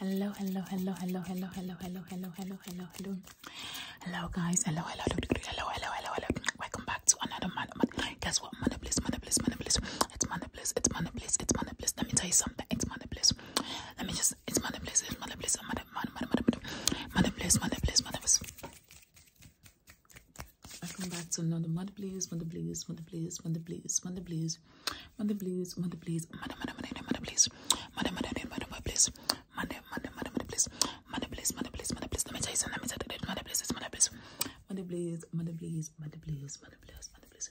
Hello, hello, hello, hello, hello, hello, hello, hello, hello, hello, hello. Hello guys, hello, hello, hello, hello, hello, hello. Welcome back to another man. man. Guess what? Mana bliss, mana bliss, mana bliss. It's mana bliss, it's mana bliss, it's mana bliss. Let me tell you something something. It's mother place. Let me just. It's mother place. It's mother place. Mother, mother, mother, mother, mother place. Mother place. Mother place. Welcome back to another mother please, mother please, mother please, mother please, mother please, mother please, mother please, mother mother mother mother please, mother mother mother mother please, mother mother mother mother please, mother please, mother please, mother please. Let me tell you something. Let me tell you that mother please, mother please, mother please, mother please, mother please, mother please, mother please, mother please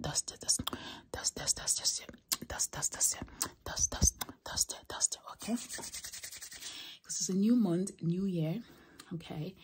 dusty, dusty, dusty, dusty, dusty, dusty, dusty, dusty, dusty, dusty, okay? Because it's a new month, new year, okay?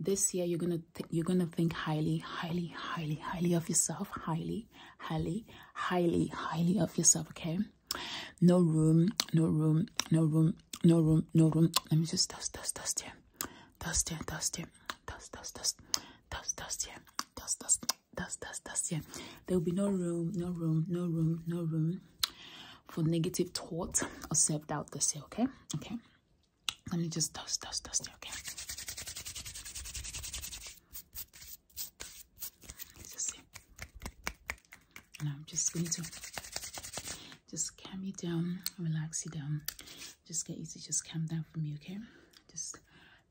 This year you're gonna you're gonna think highly, highly, highly, highly of yourself, highly, highly, highly, highly of yourself, okay? No room, no room, no room, no room, no room. Let me just dust, dust, dust here, dust here, dust here, dust, dust, dust, dust, dust, yeah, dust, dust, dust, dust, dust, yeah. There will be no room, no room, no room, no room for negative thoughts or self doubt this year, okay? Okay, let me just dust, dust, dust, okay? Let's see. And I'm just going to just calm you down, relax you down just get easy just calm down for me okay just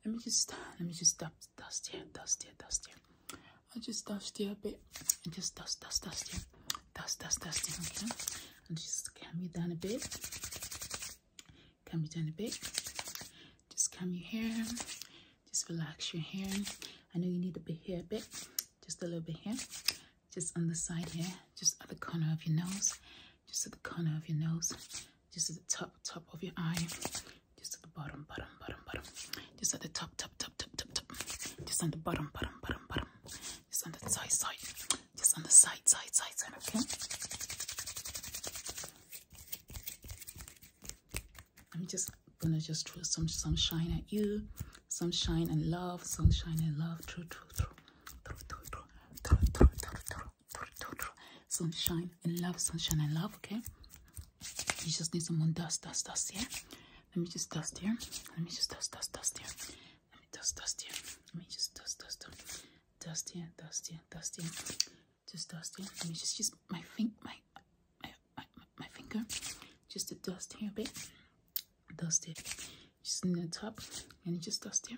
let me just let me just dust dust here dust here dust here i'll just dust here a bit and just dust dust dust here dust dust dust here okay and just calm you down a bit calm you down a bit just calm your hair just relax your hair i know you need a bit here a bit just a little bit here just on the side here just at the corner of your nose just at the corner of your nose, just at the top, top of your eye, just at the bottom, bottom, bottom, bottom, just at the top, top, top, top, top, top, just on the bottom, bottom, bottom, bottom, just on the side, side, just on the side, side, side, side, okay? I'm just gonna just throw some sunshine at you, sunshine and love, sunshine and love, through, through, through, through, through, through, through, through, through, sunshine and love, sunshine and love, okay? You just need someone dust, dust, dust here. Let me just dust here. Let me just dust, dust, dust here. Let me dust, dust here. Let me just dust, dust, dust, dust here, dust here, dust here. Just dust here. Let me just use my finger, my, my, my, my finger, just to dust here a bit. Dust it. Just in the top and just dust here.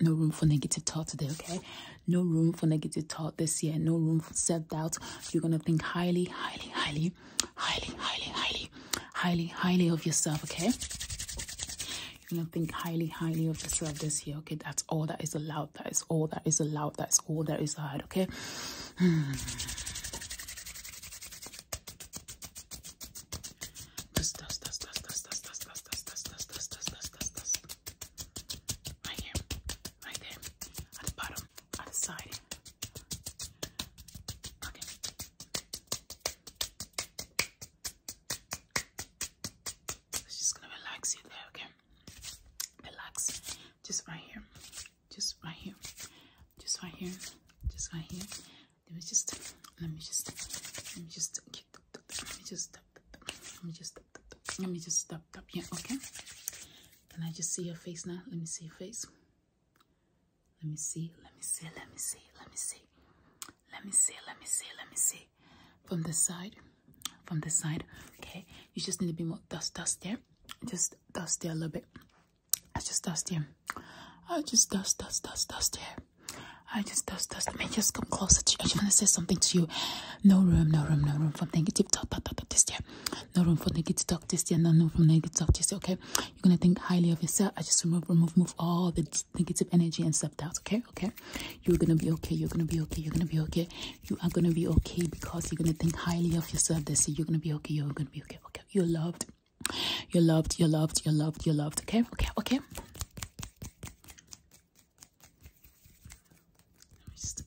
no room for negative thought today okay no room for negative thought this year no room for self-doubt you're gonna think highly highly highly highly highly highly highly of yourself okay you're gonna think highly highly of yourself this year okay that's all that is allowed that is all that is allowed that's all that is allowed, okay Dust, dust, dust, dust, dust, dust, dust, dust, dust, dust, dust, dust, dust, dust, Right here, right there, at the bottom, at the side. Okay. just gonna relax you there, okay? Relax. Just right here. Just right here. Just right here. Just right here. Let me just let me just let me just let me just stop. Let me just stop. Let me just stop. Stop. Yeah. Okay. Can I just see your face now? Let me see your face. Let me see. Let me see. Let me see. Let me see. Let me see. Let me see. Let me see. From the side. From the side. Okay. You just need to be more dust. Dust there. Just dust there a little bit. I just dust there. I oh, just dust. Dust. Dust. Dust there. I just those those man, just come closer to you. I just wanna say something to you. No room, no room, no room for negative talk, talk, talk, talk this year. No room for negative talk this year, no room for negative talk this year, okay? You're gonna think highly of yourself. I just remove, remove, move all the negative energy and self doubt, okay? Okay. You're gonna be okay, you're gonna be okay, you're gonna be okay. You are gonna be okay because you're gonna think highly of yourself this year. You're gonna be okay, you're gonna be okay, okay. You're loved. You're loved, you're loved, you're loved, you're loved, okay? Okay, okay.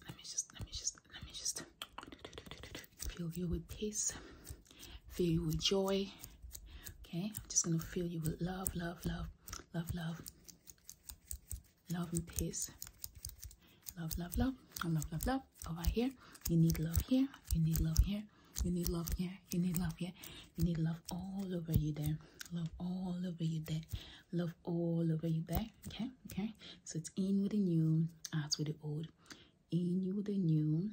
Let me just, let me just, let me just, let me just fill you with peace, fill you with joy. Okay, I'm just gonna fill you with love, love, love, love, love, love and peace. Love, love, love, love, love, love, love. Over here, you need love here. You need love here. You need love here. You need love, yeah? You need love all over you there. Love all over you there. Love all over you there. Okay, okay. So it's in with the new, out with the old. In you with the new,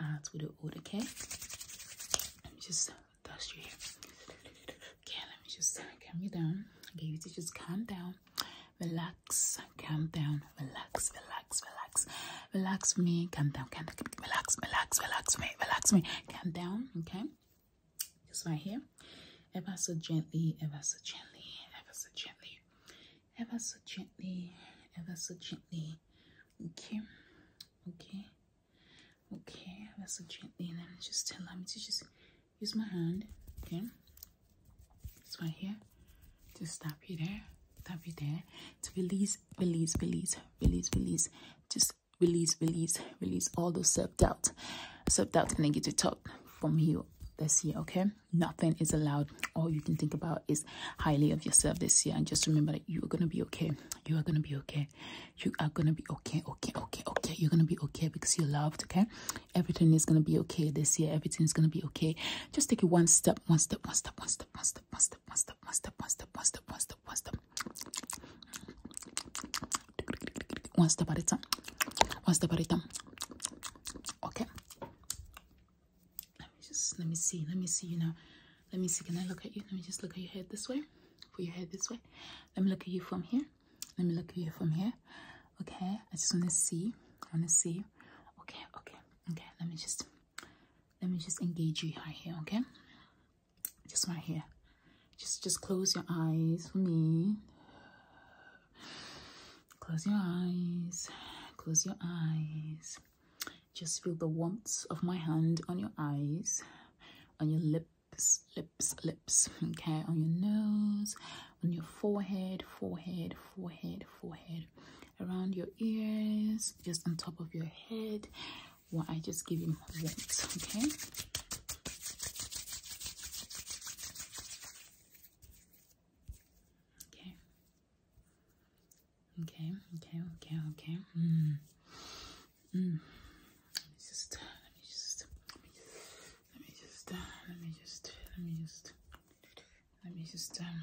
out with the old, okay? Let me just dust your hair. Okay, let me just calm you down. Okay, you to just calm down. Relax, calm down, relax, relax, relax, relax me, calm down, relax, relax, relax me, relax me, come down, okay? Just right here. Ever so gently, ever so gently, ever so gently, ever so gently, ever so gently. Okay, okay, okay, ever so gently. And then just allow me to just use my hand, okay? Just right here. Just tap you there, tap you there. To release, release, release, release, release. Just release, release, release all those self doubt, self doubt, and negative talk from you this year. Okay, nothing is allowed. All you can think about is highly of yourself this year, and just remember that you are gonna be okay. You are gonna be okay. You are gonna be okay, okay, okay, okay. You're gonna be okay because you're loved. Okay, everything is gonna be okay this year. Everything is gonna be okay. Just take it one step, one step, one step, one step, one step, one step, one step one step, one step, one step, one step, one step. One step at a time. One step at a time. Okay. Let me just let me see. Let me see you now. Let me see. Can I look at you? Let me just look at your head this way. For your head this way. Let me look at you from here. Let me look at you from here. Okay. I just wanna see. I wanna see. Okay, okay, okay. Let me just let me just engage you right here okay just right here just just close your eyes for me close your eyes close your eyes just feel the warmth of my hand on your eyes on your lips lips lips okay on your nose on your forehead forehead forehead forehead around your ears just on top of your head what I just give him once, okay? Okay. Okay, okay, okay, okay. Mm. Mm. Let me just, let me just, let me just, let me just, let me just, let me just, let me just, um,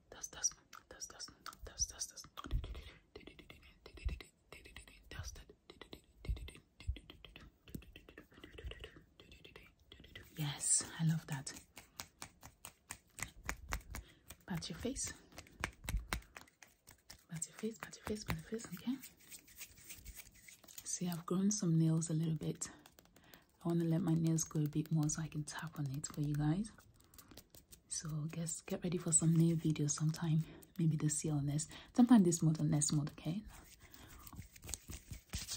dust, dust, Yes, I love that. Pat your face. Pat your face, pat your face, pat your face, okay? See, I've grown some nails a little bit. I want to let my nails grow a bit more so I can tap on it for you guys so guess get ready for some new videos sometime maybe the seal or next sometime this month or next month okay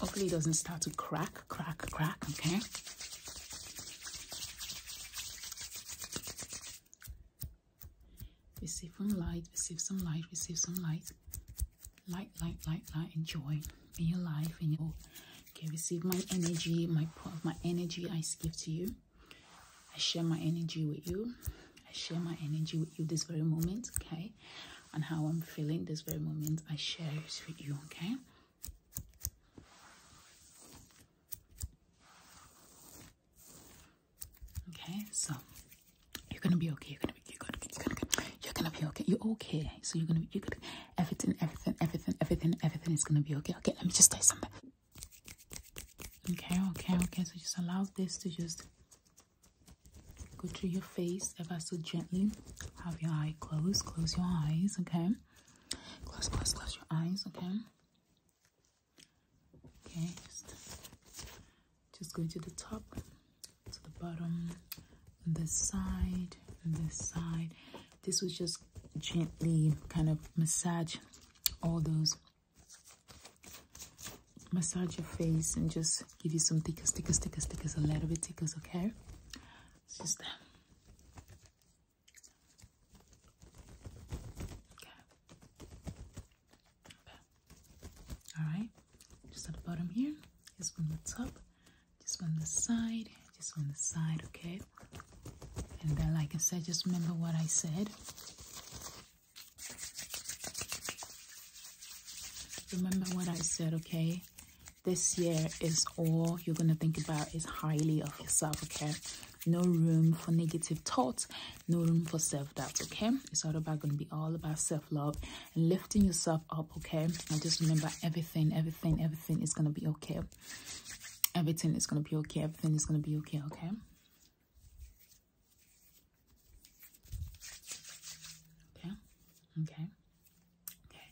hopefully it doesn't start to crack crack crack okay receive some light receive some light receive some light light light light light enjoy in your life in your Okay, receive my energy, my part of my energy I give to you. I share my energy with you. I share my energy with you this very moment, okay? And how I'm feeling this very moment, I share it with you, okay? Okay, so you're gonna be okay. You're gonna be, you're gonna, you're gonna, you're gonna be okay. You're okay. So you're gonna, you're gonna, everything, everything, everything, everything, everything is gonna be okay. Okay, let me just take you something. Okay, okay, okay. So just allow this to just go through your face ever so gently. Have your eye closed, close your eyes, okay? Close, close, close your eyes, okay? Okay, just, just go to the top, to the bottom, this side, this side. This was just gently kind of massage all those massage your face and just give you some stickers, stickers, stickers, stickers, a little bit stickers, okay? It's just that. Okay. okay. All right. Just at the bottom here. Just from the top just on the side just on the side okay and then like i said just remember what i said remember what i said okay this year is all you're going to think about is highly of yourself okay no room for negative thoughts no room for self-doubt okay it's all about going to be all about self-love and lifting yourself up okay now just remember everything everything everything is gonna be okay everything is gonna be okay everything is gonna be okay okay okay okay okay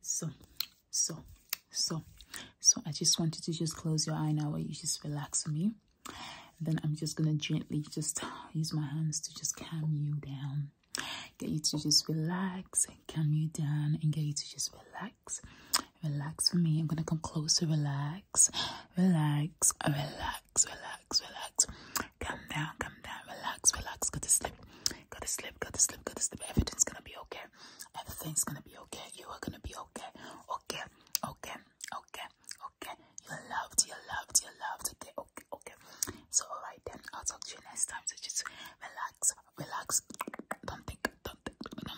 so so so so i just want you to just close your eye now where you just relax me and then i'm just gonna gently just use my hands to just calm you down Get you to just relax, calm you down, and get you to just relax. Relax for me. I'm gonna come closer. Relax, relax, relax, relax, relax. Calm down, calm down. Relax, relax. Go to sleep. Go to sleep. Go to sleep. Go to sleep. Everything's gonna be okay. Everything's gonna be okay. You are gonna be okay. Okay. Okay. Okay. Okay. You're loved. You're loved. You're loved. Okay. Okay okay so all right then i'll talk to you next time just relax relax don't think don't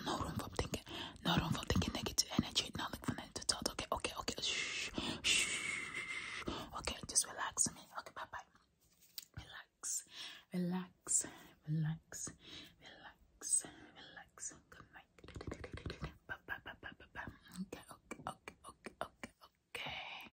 no, room for thinking no room for thinking negative energy not for negative thought okay okay okay shh, shh. okay just relax me okay bye bye relax relax relax relax relax okay okay okay okay okay